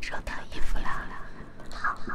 收到衣服了。晾，好好。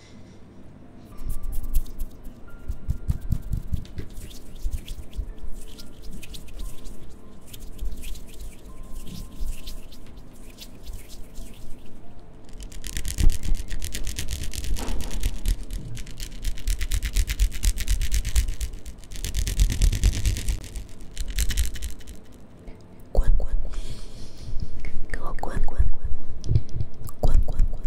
滚滚，给我滚滚滚滚滚！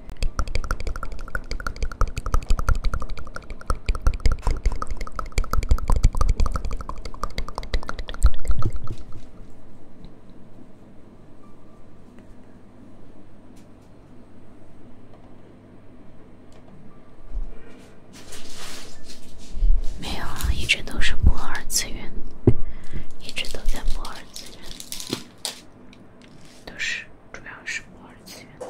没有啊，一直都是播二次元，一直都在播二次元。都是，主要是二次元。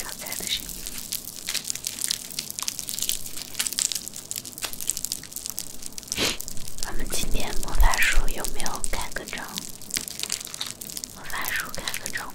刚才的声音，咱们今天魔法书有没有盖个章？我翻书，开个窗户。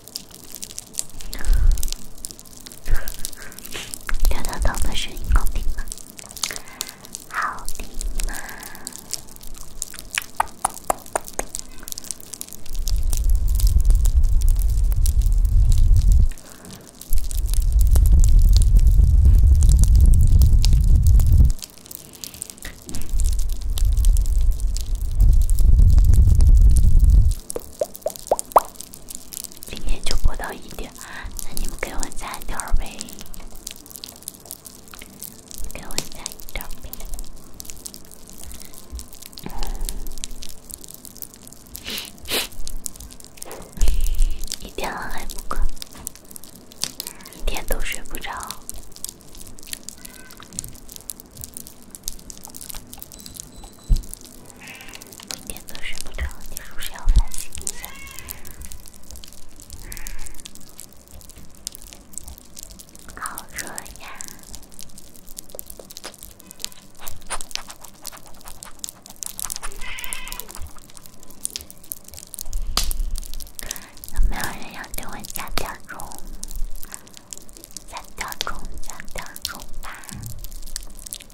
刘豆豆的声音好听吗？好听。今天就播到一点，那你们给我加点呗，给我赞点儿呗。一天了还不困，一天都睡不着。每天都睡不着，你是不是要反省一下？好热呀！有没有人要给我加点钟？加点钟，加点钟吧！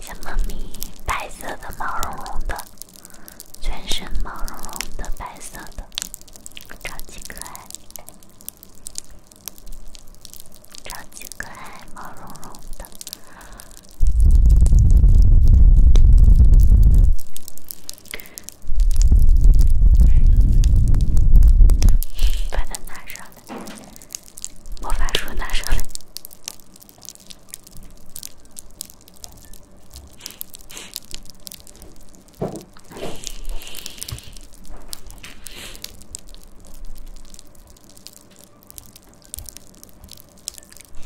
小猫咪，白色的，毛茸茸的，全身毛茸茸的，白色的，超级可爱，超级可爱，毛茸茸的。把它拿上来，魔法书拿上来。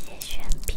谢玄平。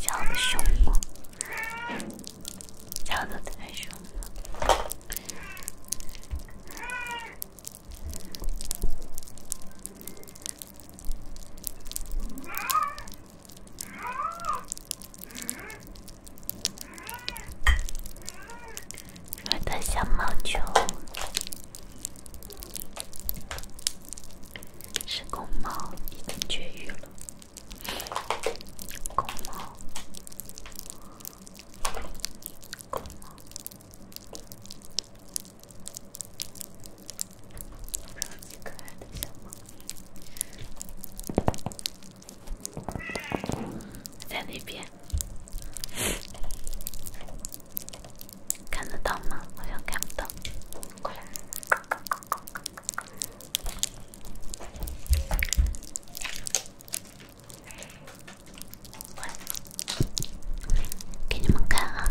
叫的凶吗？叫的太凶了。我的小毛球是公猫，已经绝育了。公猫，公猫，可爱的小在那边。看得到吗？好像看不到。过来，给你们看啊。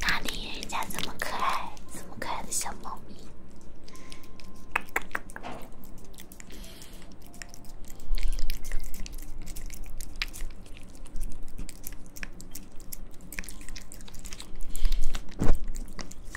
哪里？人家这么可爱，这么可爱的小猫咪。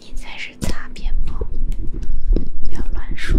你才是擦边猫，不要乱说。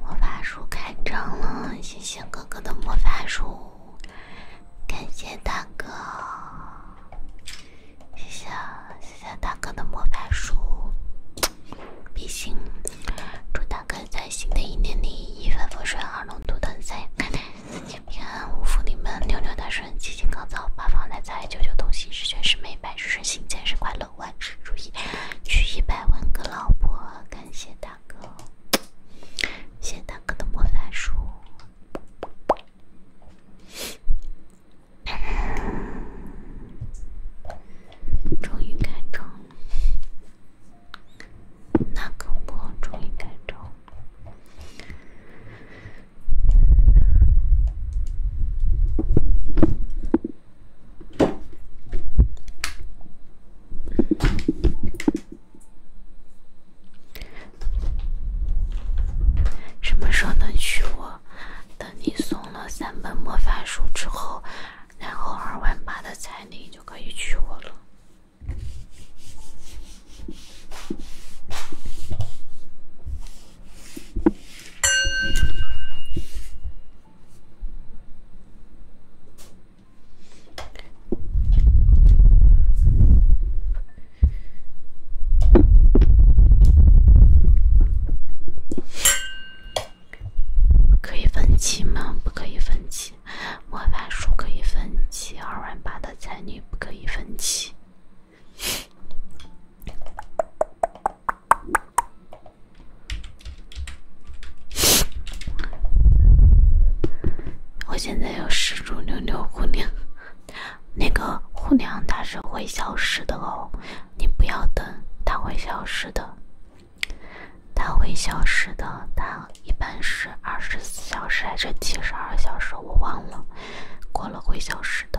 魔法书开张了，谢谢哥哥的魔法书，感谢大哥，谢谢谢谢大哥的魔法书。比心。祝大哥在新的一年里一帆风顺，二龙吐腾飞，四季平安五福临门，六六大顺，七星高照，八方来财，九九同心，十全十美，百事顺心，千事快乐，万事如意，娶一百万个老婆，感谢大。哥，谢大哥的魔法书，终于开张了。大我终于开张了。什么时候能娶我？等你送了三本魔法书之后，然后二万八的彩礼就可以娶我了。可以分期吗？不可以分期。魔法书可以分期，二万八的彩礼不可以分期。我现在有十株牛牛姑娘，那个姑娘它是会消失的哦，你不要等，它会消失的，它会消失的，它一般是二十四小时还是七十二小时，我忘了，过了会消失的。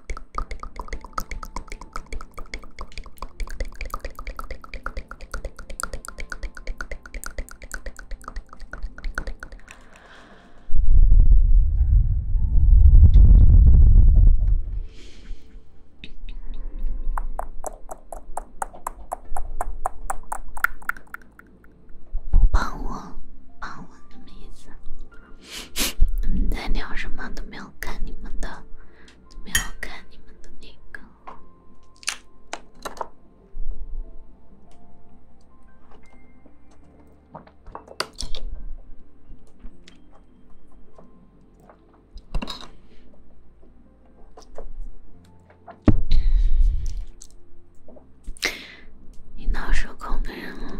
不帮我，帮我什么意思？你们在聊什么？都没有看你们的，没有看你们的那个。你闹的人了。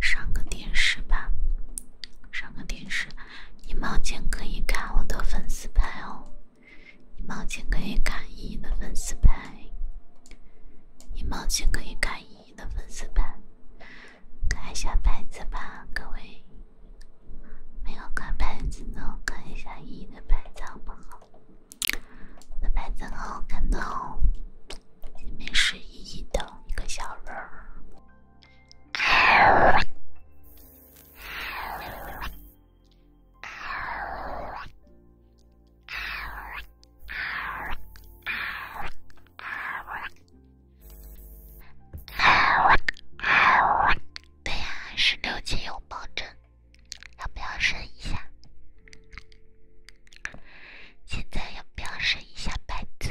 上个电视吧，上个电视，一毛钱可以看我的粉丝牌哦。一毛钱可以看依依的粉丝牌，一毛钱可以看依依的粉丝牌，看一下牌子吧，各位。没有看牌子的，看一下依依的牌子好不好？我的牌子很好看的哦，里面是依依的一个小人儿。对呀，十六级有保证，要不要升一下？现在要不要升一下白字？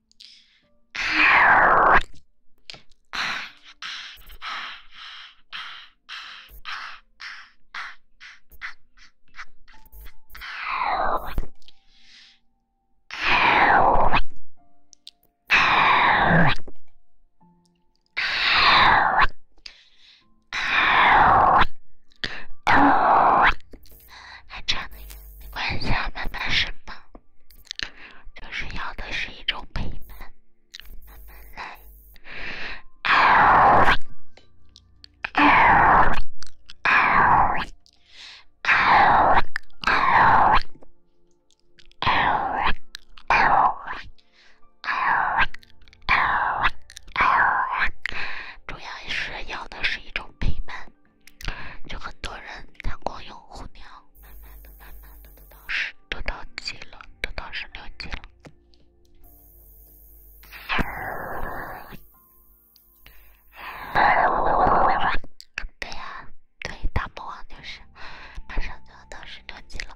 还差一点，关小慢慢释放。就是要的是一种陪伴，主要是要的是一种陪伴。就很多人，他光用红娘，慢慢的、慢慢的，得到十，得到几了，得到十六级了。对呀，对，大魔王就是，马上就要到十六级了。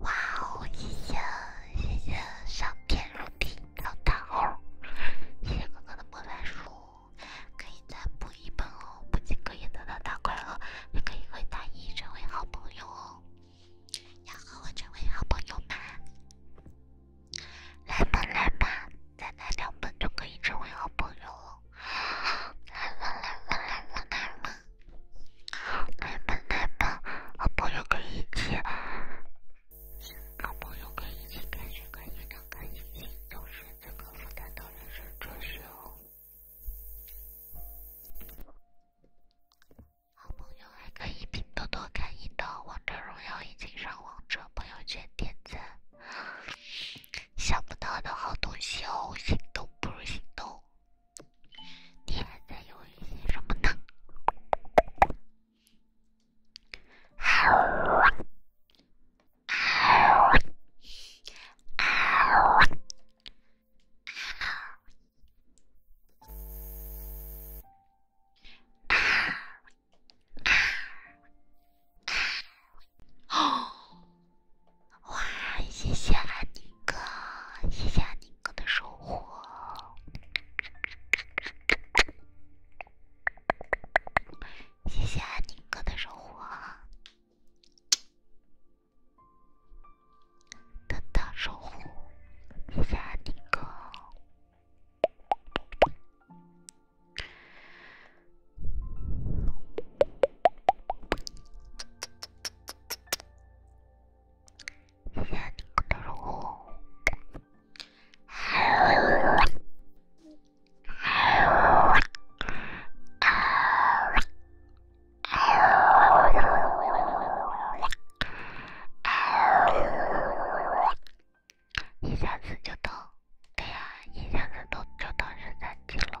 哇哦！谢谢谢谢，上天入地。老大猴，谢谢哥哥的魔法书，可以再补一本哦！不仅可以得到大快乐，也可以和大姨成为好朋友哦！要和我成为好朋友吗？来吧来吧，再来两本就可以成为好朋友了！来吧来吧来吧来吧，来吧来吧，好朋友可以一起。好朋友可以一起看剧、看电影、看游戏，同时也可以看到人生哲学哦。好朋友还可以拼多多砍一刀、王者荣耀已经上王者、朋友圈点赞，想不到的好东西哦！心动不如行动，你还在犹豫什么呢？哇！谢谢阿宁哥，谢谢你。哥的收获，谢谢安宁哥的收获，的大收获，谢谢安宁哥。一下子就到，对呀，一下子就就到十三级了。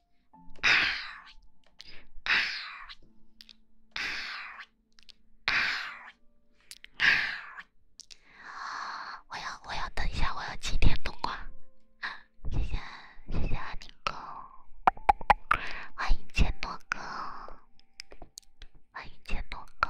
啊！我要我要等一下，我要今天冬瓜。谢谢谢谢阿尼狗，欢迎千诺哥，欢迎千诺狗。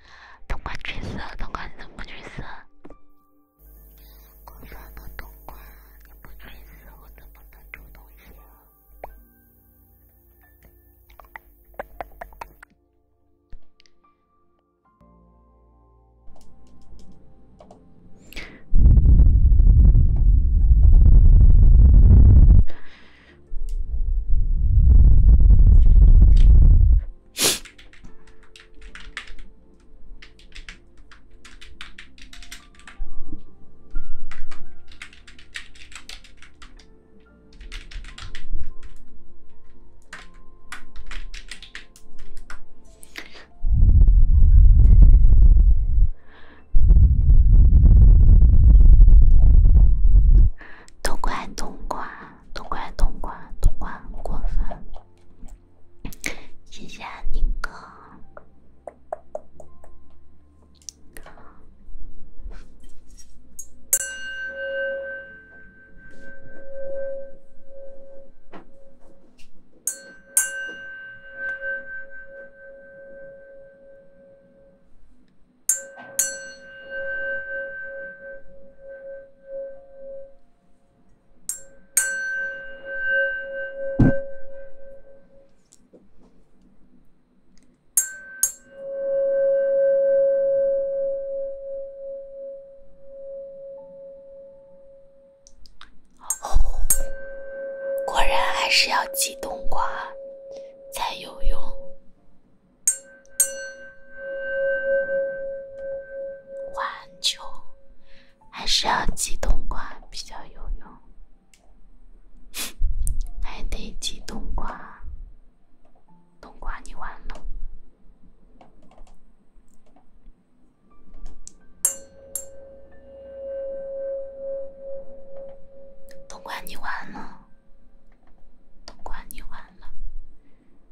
动过橘色，动过什么橘色？我怎么能动过？你不橘色，我怎么能主动一些？冬瓜，冬瓜。都怪东哥，东哥过分。谢谢宁哥。果然还是要挤冬瓜才有用。晚秋，还是要挤冬瓜比较有用，还得挤冬瓜。冬瓜你完了，冬瓜你完了，冬瓜你完了。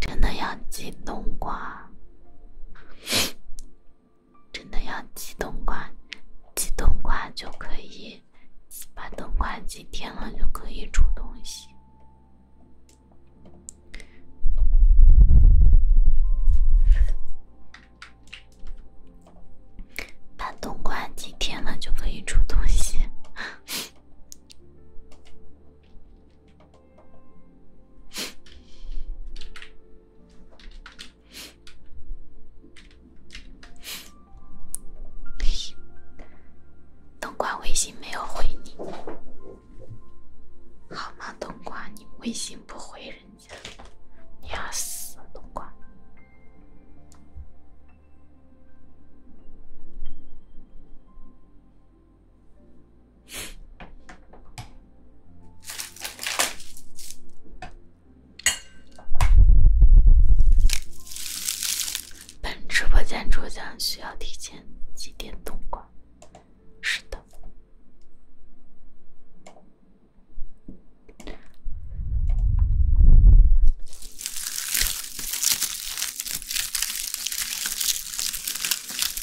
真的要挤冬瓜，真的要挤冬瓜，挤冬瓜就可以，把冬瓜挤天了就可以出东西，把冬瓜挤天了就可以出东西。冬瓜微信没有回你，好吗？冬瓜，你微信不回人家，你要死，冬瓜。本直播间抽奖需要提前几点通关？是的。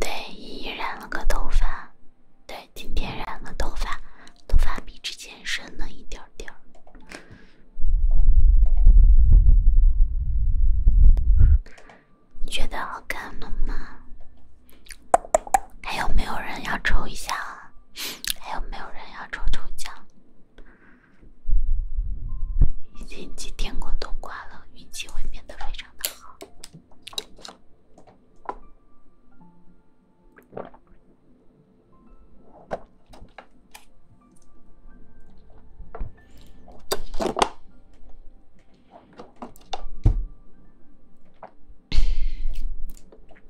对，依依染了个头发，对，今天染了头发，头发比之前深了一点点你觉得好看吗？还有没有人要抽一下？还有没有人要抽抽奖？已经几天过冬瓜了，运气会变得非常的好。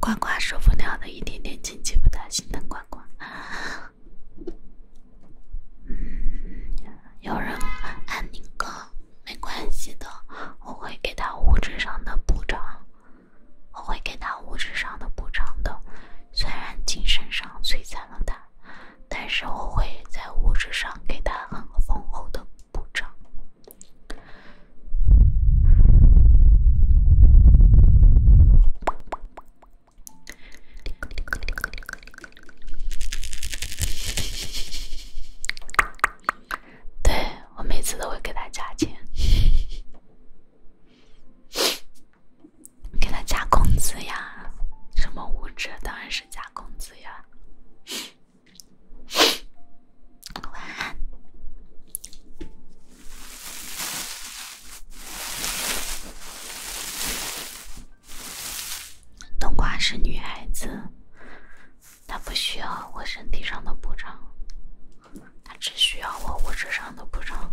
呱呱受不了的一点点亲戚不担，心疼呱呱。有人安宁哥。没关系的，我会给他物质上的补偿，我会给他物质上的补偿的。虽然精神上摧残了他，但是我会在物质上给他很丰厚的补偿。对，我每次都会给他加钱，给他加工资呀。什么物质？当然是加工资呀。晚安。冬瓜是女孩子。他不需要我身体上的补偿，他只需要我物质上的补偿。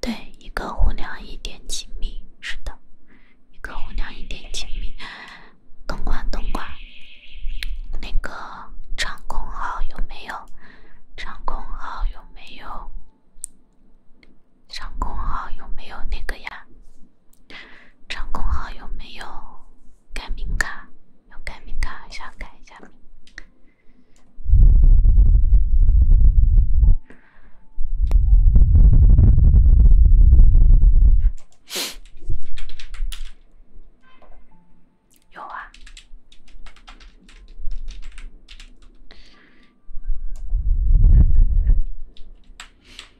对，一个湖梁一点几米，是的，一个湖梁一点几米。东莞，东莞，那个长空号有没有？长空号有没有？长空号有没有那个呀？唱功好有没有？改名卡有改名卡，想改一下名。有啊。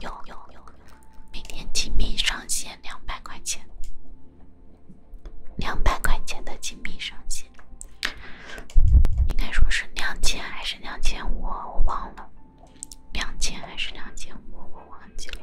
有有有，每天金币上限两百块钱，两百块钱的金币上限，应该说是两千还是两千五？我忘了。两千还是两千五？我忘记了。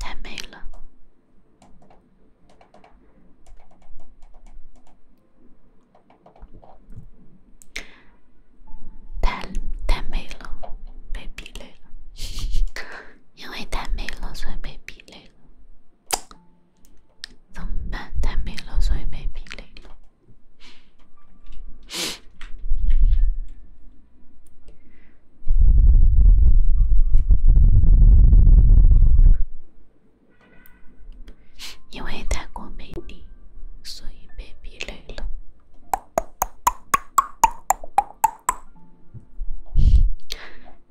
太美了，太太美了，被逼累了，因为太美了，所以被逼累了，怎么办？太美了，所以被逼累了。因为太过美丽，所以被逼累了，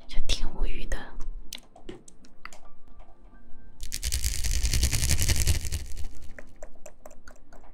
就挺无语的。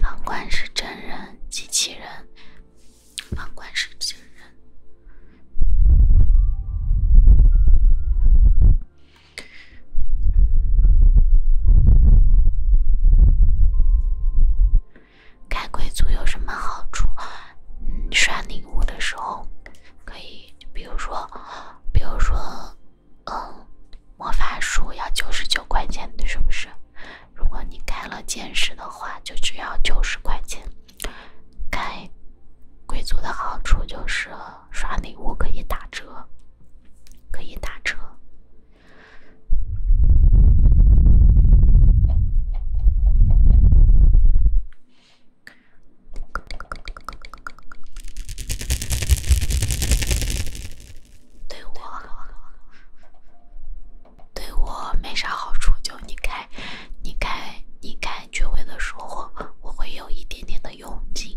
房管是真人，机器人。房管是真人。开贵族有什么好处？刷礼物的时候，可以，比如说，比如说，嗯，魔法书要九十九块钱的，是不是？如果你开了剑士的话，就只要九十块钱。开贵族的好处就是刷礼物可以打折，可以打折。对我，对我没啥好处。就你开，你开，你开聚会的时候，我会有一点点的佣金。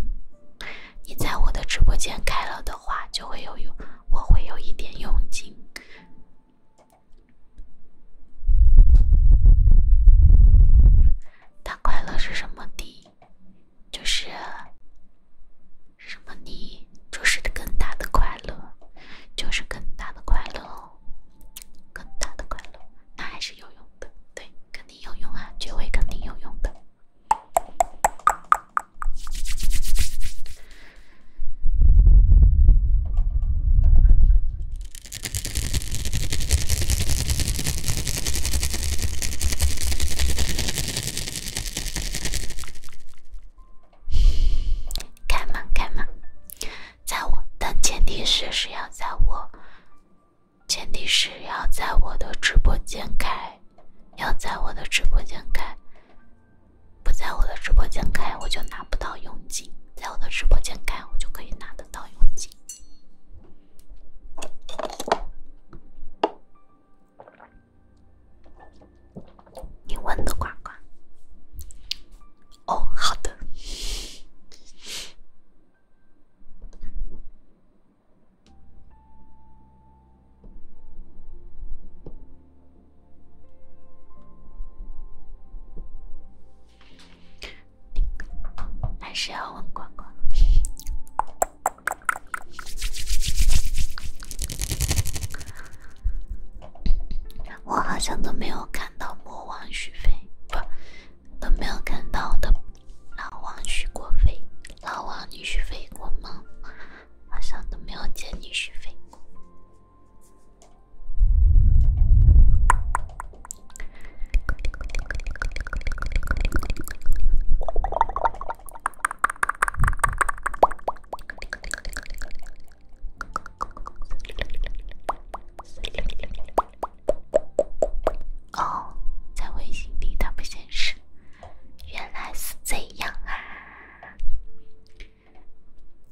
你在我的直播间开了的话，就会有，用。我会有一点佣金。但快乐是什么的？就是什么你，就是更大的快乐，就是更大的快乐哦，更大的快乐，那还是有用的，对，肯定有用啊，绝位肯定有用的。开门开门，在我但前提是是要在我，前提是要在我的直播间开，要在我的直播间开，不在我的直播间开我就拿。不到佣金，在我的直播间看，我就可以拿得到佣金。你问的呱呱，哦，好的。还是要问管管。我好像都没有看到魔王许飞，不，都没有看到的。老王许过飞，老王你许飞过吗？好像都没有见你许飞过。哦，在微信里它不显示，原来是这样啊。